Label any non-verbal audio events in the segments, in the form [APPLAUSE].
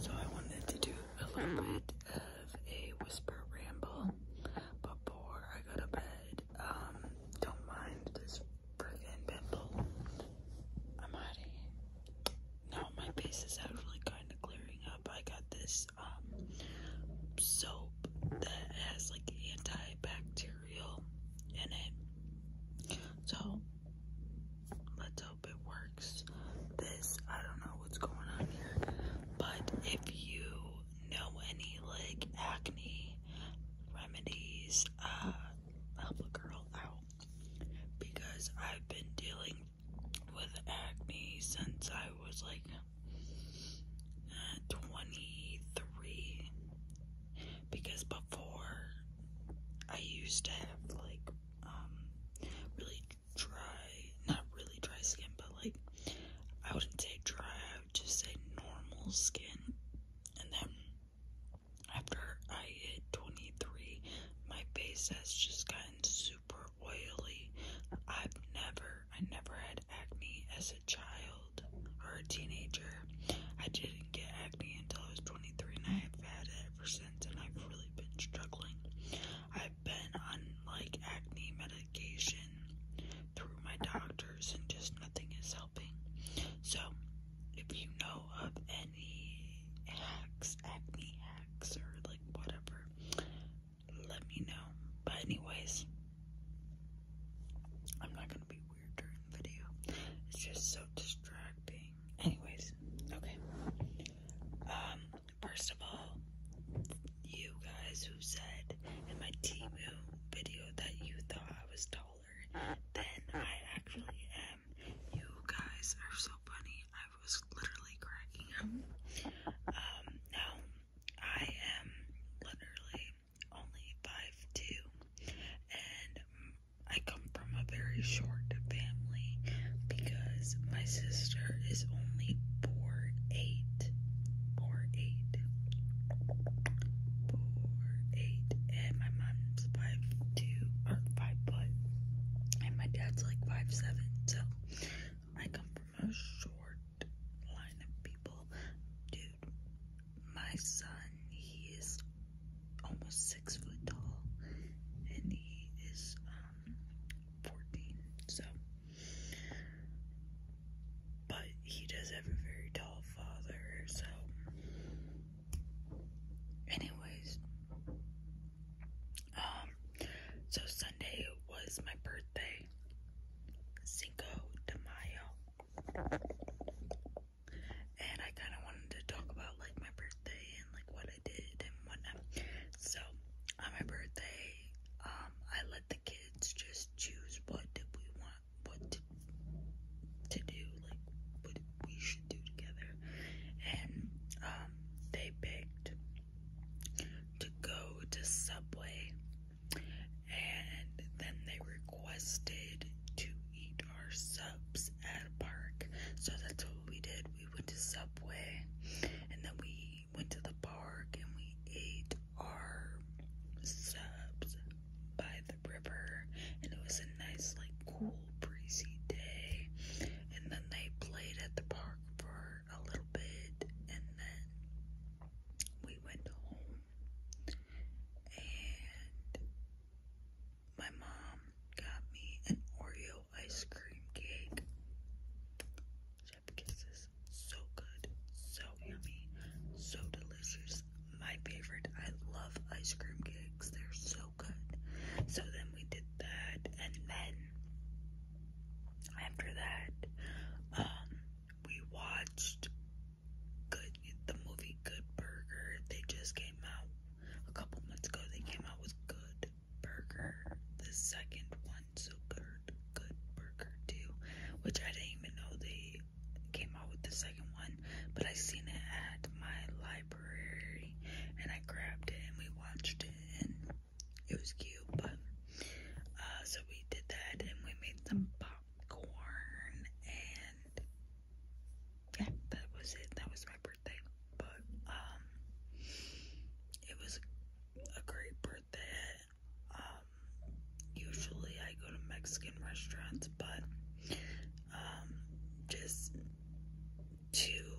So I wanted to do a little hmm. bit of a whisper ramble before I go to bed. Um, don't mind this freaking pimple. I'm out Now my face is actually kind of clearing up. I got this um, soap that has like antibacterial in it. So let's it works this i don't know what's going on here but if you know any like acne remedies uh help a girl out because i've been dealing with acne since i was like 23 because before I used to have like um, really dry, not really dry skin, but like I wouldn't say dry, I just say normal skin. And then after I hit 23, my face has just gotten super oily. I've never, I never had acne as a child or a teenager. I didn't get acne until I was 23, and I have had it ever since and I've really been struggling. I've been on like acne medication through my doctors, and just nothing is helping. So, if you know of any hacks, acne hacks, or like whatever, let me know. But, anyways, I'm not gonna be weird during the video, it's just so distracting. Anyways, okay. Um, first of all, you guys who said in my Timu video that you thought I was taller than I actually am, you guys are so funny. I was literally cracking up. Um, now I am literally only 5'2, and I come from a very short family because my sister is only four eight, four eight, four eight, and my mom's five two or five foot, and my dad's like five seven. So I come from a short line of people, dude. My son, he is almost six foot tall, and he is um, 14. So, but he does have a very tall father. So, anyways, um, so Sunday was my birthday, Cinco de Mayo and I kind of wanted to talk about like my birthday and like what I did and whatnot. So on my birthday, um, I let the kids just choose what did we want, what did, to do, like what we should do together, and um, they picked to go to Subway, and then they requested to eat our subs at a park. So that's what we did. We went to Subway and then we went to the park and we ate our subs by the river. And it was a nice, like, cool, breezy day. And then they played at the park for a little bit and then we went home and my mom got me an Oreo ice cream cake. Chef Kisses, so good, so yummy, so delicious. My favorite. I love ice cream cakes. They're so good. So then we did that, and then after that, um, we watched good the movie Good Burger. They just came out a couple months ago they came out with Good Burger, the second one, so Good Good Burger too, which I didn't even know they came out with the second one, but I seen it at my library and I grabbed it and we watched it and it was cute, but uh, so we did that and we made some popcorn and yeah, that was it. That was my birthday. But um it was a great birthday. Um usually I go to Mexican restaurants, but um just too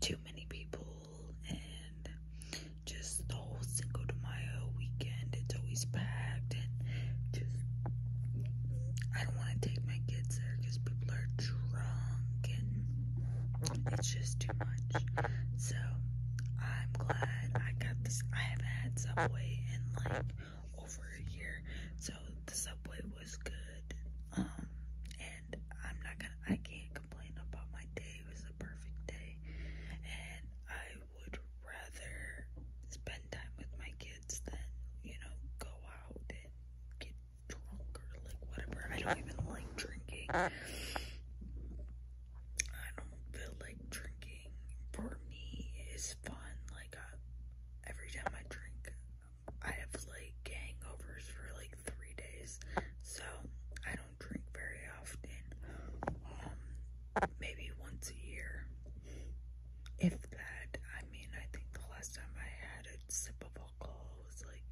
too many people and just the whole Cinco de Mayo weekend, it's always packed shit. Just, I don't want to take my kids there because people are drunk and it's just too much. So, I'm glad I got this. I haven't had Subway in like over a year, so the Subway was good. Um, and I'm not gonna, I can't complain about my day. It was a perfect day, and I would rather spend time with my kids kids that, you know, go out and get drunk or like whatever. I don't even like drinking. Uh. I don't feel like drinking. For me, is fun. Like, I, every time I drink, I have like hangovers for like three days. So, I don't drink very often. Um, maybe once a year if that, I mean, I think the last time I had a sip of alcohol was like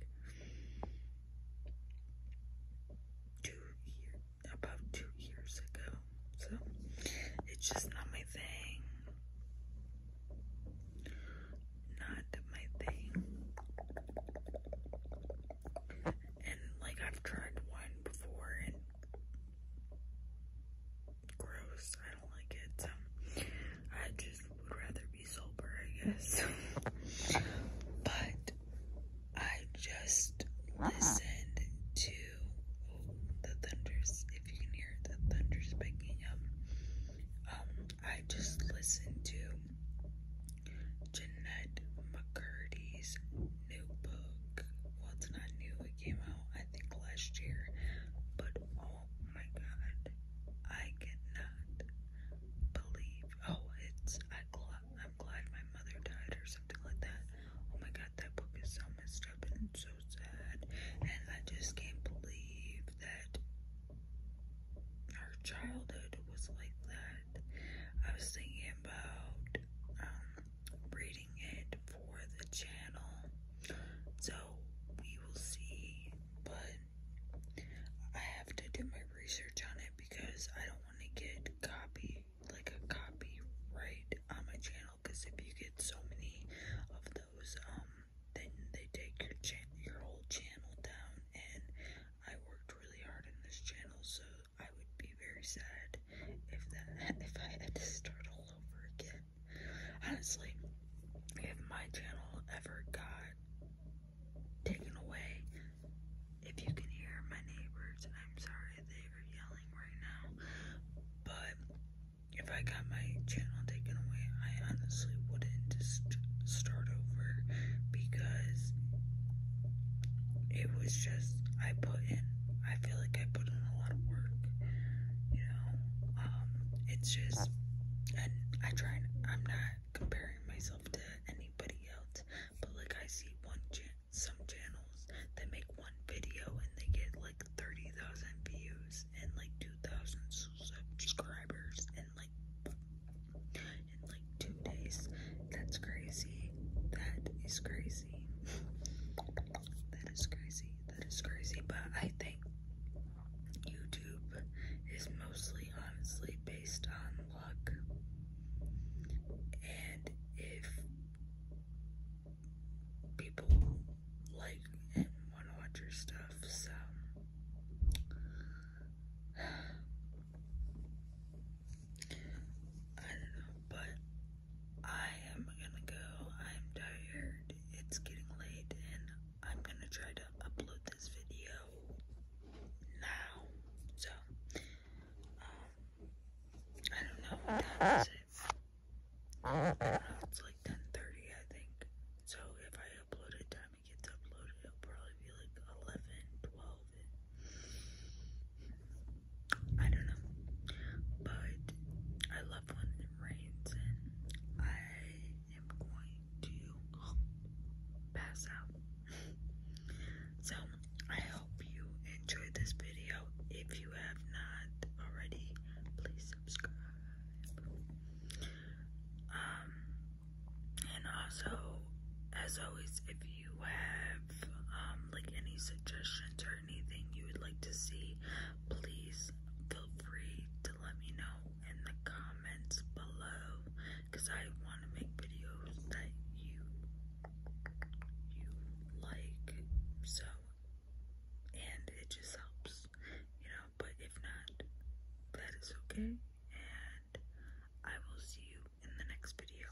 two years, about two years ago. So it's just not my thing. Not my thing. And like I've tried wine before and gross. I don't like it. Um, I just would rather be sober, I guess. [LAUGHS] but I just listened to the thunders. If you can hear the thunders picking up. Um, I just listened to Jeanette McCurdy's new book. Well, not new. It came out, think last year, but oh my god, I cannot believe. Oh, it's I glad I'm glad my mother died or something like that. Oh my god, that book is so messed up and so sad, and I just can't believe that our childhood was like that. I was thinking about um rating it for the channel. So we will see, but I have to do my research on it because I don't want to get copy like a copyright on my channel. Because if you get so many of those, um, then they take your channel, your whole channel down. And I worked really hard on this channel, so I would be very sad hard if that if I had to start all over again. Honestly, if my channel ever got taken away, if you can hear my neighbors, I'm sorry they are yelling right now, but if I got my channel taken away, I honestly wouldn't just start over because it was just I put in I feel like I put in a lot of work, you know. Um, it's just, and I try. And, I'm not comparing myself to anybody else, but like I see one cha some channels that make one video and they get like thirty thousand views and like two thousand subscribers in like in like two days. That's crazy. That is crazy. That is crazy. That is crazy. But I think YouTube is mostly honestly based on luck. And if people like and want to watch your stuff, so. [SIGHS] I don't know, but I am gonna go. I'm tired. It's getting late, and I'm gonna try to upload this video now. So, um, I don't know it's like 10:30, I think. So if I upload it, time it gets uploaded, it'll probably be like 11, I don't know, but I love when it rains, and I am going to pass out. so, I hope you enjoyed this video. If you have not already, please subscribe. Um, and also, as always, if you you have um, like any suggestions or anything you would like to see, please feel free to let me know in the comments below because I want to make videos that you you like so and it just helps you know but if not that is okay and I will see you in the next video